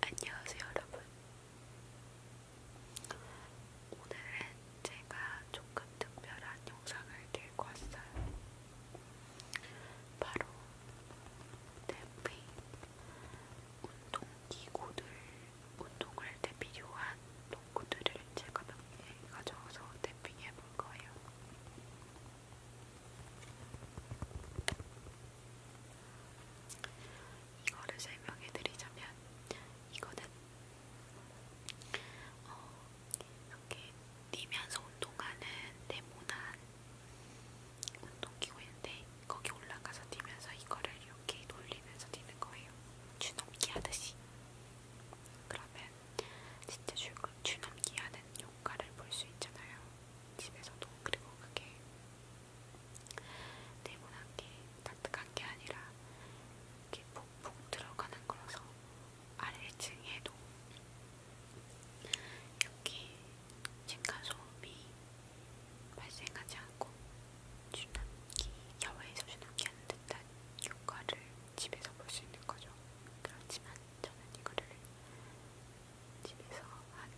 안녕하세요, 여러분. 오늘은 제가 조금 특별한 영상을 들고 왔어요. 바로 대피 운동기구들, 운동할 때 필요한 도구들을 제가 몇 개 가져와서 대핑해 볼 거예요. 이거를 설명해드리자면 이거는 어, 이렇게 뛰면서 운동하는 네모난 운동기구인데 거기 올라가서 뛰면서 이거를 이렇게 돌리면서 뛰는 거예요. 줄넘기 하듯이. 그러면 진짜 줄넘기 하는 효과를 볼 수 있잖아요. 집에서도 그리고 그게 네모난 게 따뜻한 게 아니라 이렇게 푹푹 들어가는 거라서 아래층에도 이렇게 층간 소음이 발생하지 않고 주남기 야외에서 주남기하는 듯한 효과를 집에서 볼 수 있는 거죠. 그렇지만 저는 이거를 집에서 한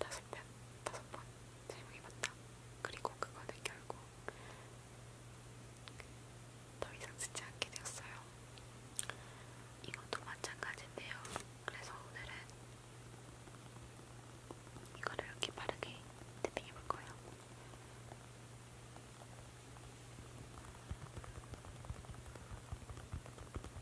다섯 편, 다섯 번 사용해봤다. 그리고 그거는 결국 더 이상 쓰지 않게 되었어요. 이것도 마찬가지인데요. 그래서 오늘은 이거를 이렇게 빠르게 탭핑해볼 거예요.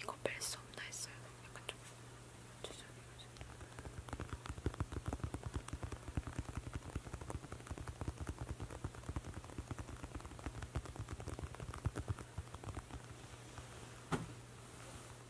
이거 뺄 수 없나 했어요. 약간 좀 죄송해요.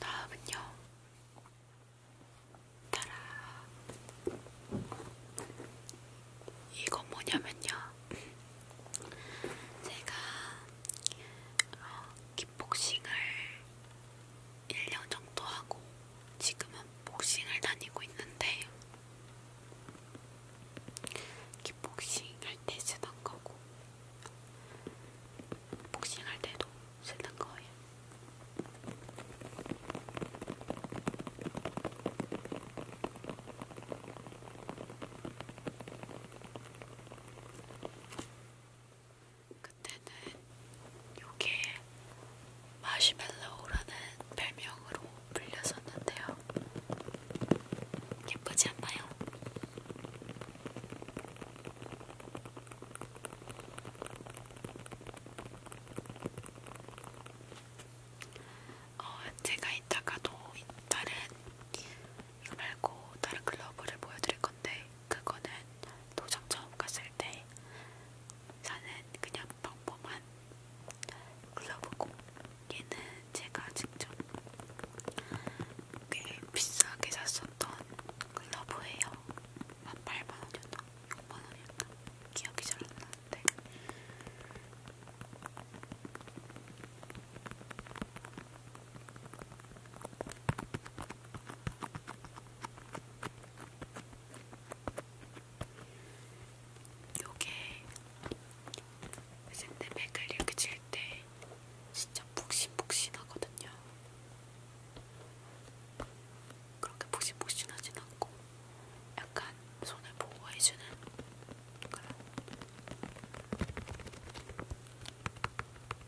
다음은요. 따라. 이거 뭐냐면요. 제가 어, 킥복싱을 1년 정도 하고 지금은 복싱을 다니고 있는데 킥복싱할 때 쓰던 거고 복싱할 때도 쓰는 거예요. 그때는 요게 마시멜로우라는 별명으로 불렸었는데요. 예쁘지 않나요? 어, 제가 이따가도 다른 이거 말고 다른 글러브를 보여드릴 건데 그거는 도장 처음 갔을 때 저는 그냥 평범한 글러브고 얘는 제가 직접 꽤 비싸게 샀었던 글러브예요. 한 8만원이었나? 6만원이었나? 기억이 잘 안 나는데 요게 샌드백을 이렇게 칠때 진짜 푹신푹신하거든요. 그렇게 푹신푹신하진 않고 약간 손을 보호해주는 그런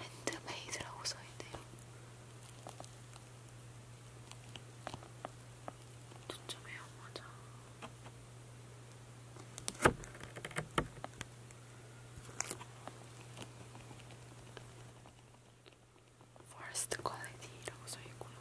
핸드메이드라고 써있네요. 초점이 안 맞아. First quality라고 써있고요.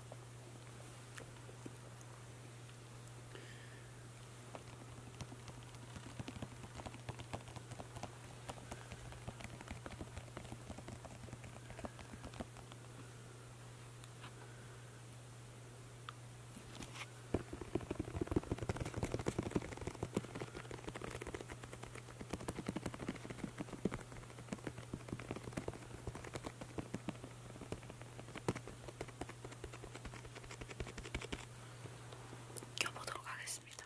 껴보도록 하겠습니다.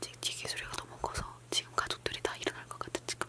찍튀기 소리가 너무 커서 지금 가족들이 다 일어날 것 같아 지금.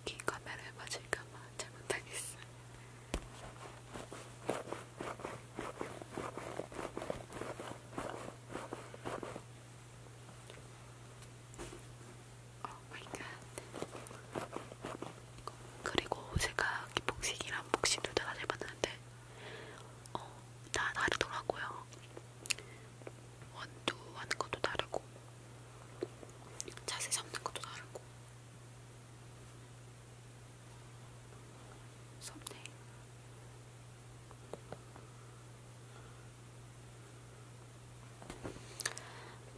여기 카메라에 맞을까봐 잘 못하겠어요. 오마이갓 어, 그리고 제가 기폭식이랑 복식 둘다 사실 봤는데 어, 다 다르더라고요 원두 하는 것도 다르고 자세 잡는 것도 다르고 섭네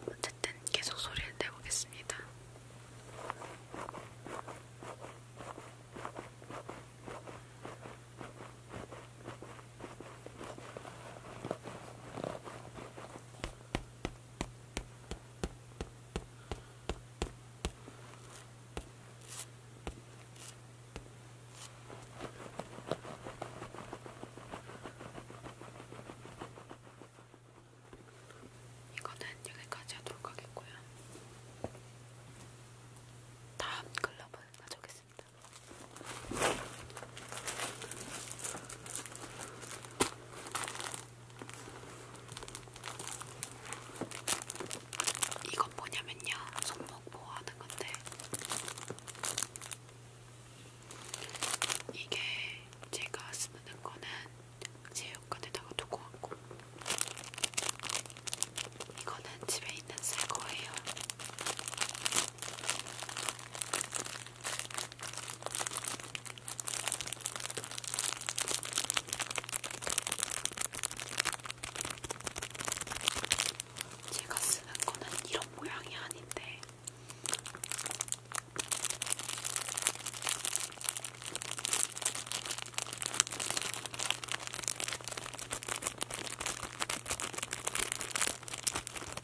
어쨌든 계속 소리를 내보겠습니다. 이거는 여기까지 하도록 하겠고요. 다음 글러브 가져오겠습니다. 이건 뭐냐면요, 손목 보호하는 건데, 이게 제가 쓰는 거는 제육관에다가 두고 왔고, 이거는 집에 있는 새 거예요. 제가 쓰는 거는 이런 모양이 아닌데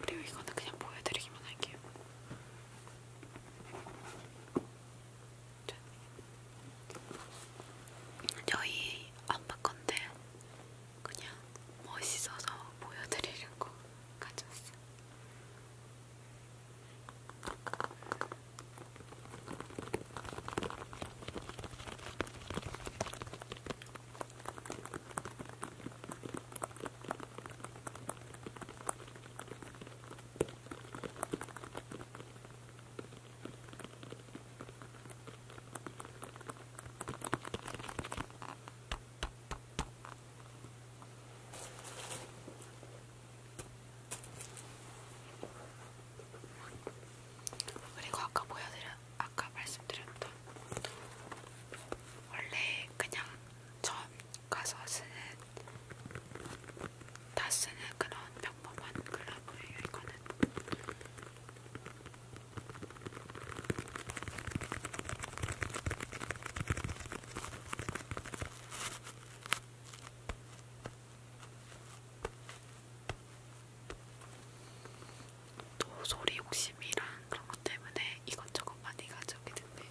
그리고 이거는 그냥 보여드리기만 할게요. 짠. 저희 엄마 건데 그냥 멋있어서 보여드리려고 가져왔어. 그리고 아까 보여드렸 아까 말씀드렸던 원래 그냥 처음 가서 쓰는 다 쓰는 그런 평범한 글라브예요 이거는 또 소리 욕심이랑 그런 것 때문에 이것저것 많이 가져오게 됐네요.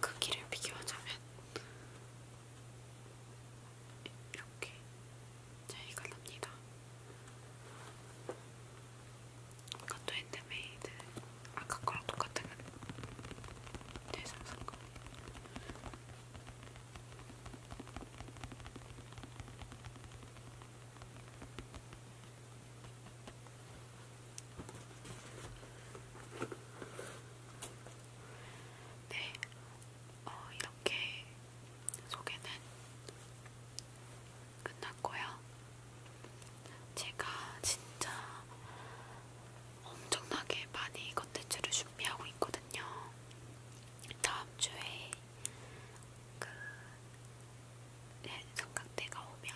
크기를 그 비교하자면 이렇게 자, 이걸로입니다. 이것도 핸드메이드. 아까 거랑 똑같은 건 대상 선거. 네, 어, 이렇게 소개는 끝났고요. 제가 진짜 엄청나게 많이 컨텐츠를 준비하고 있거든요. 다음 주에 그 성강대가 오면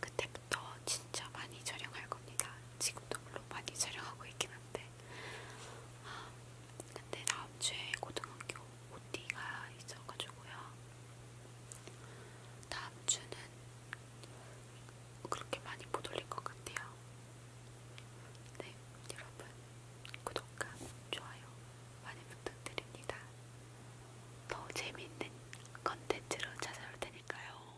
그때부터 진짜 많이 촬영할 겁니다. 지금도 물론 많이 촬영하고 있긴 한데 아, 근데 다음 주에 고등학교 OT가 있어가지고요. 다음 주는 그렇게 많이 못 올릴 것 같아요. 네, 여러분 구독과 좋아요 많이 부탁드립니다. 더 재미있는 컨텐츠로 찾아올 테니까요.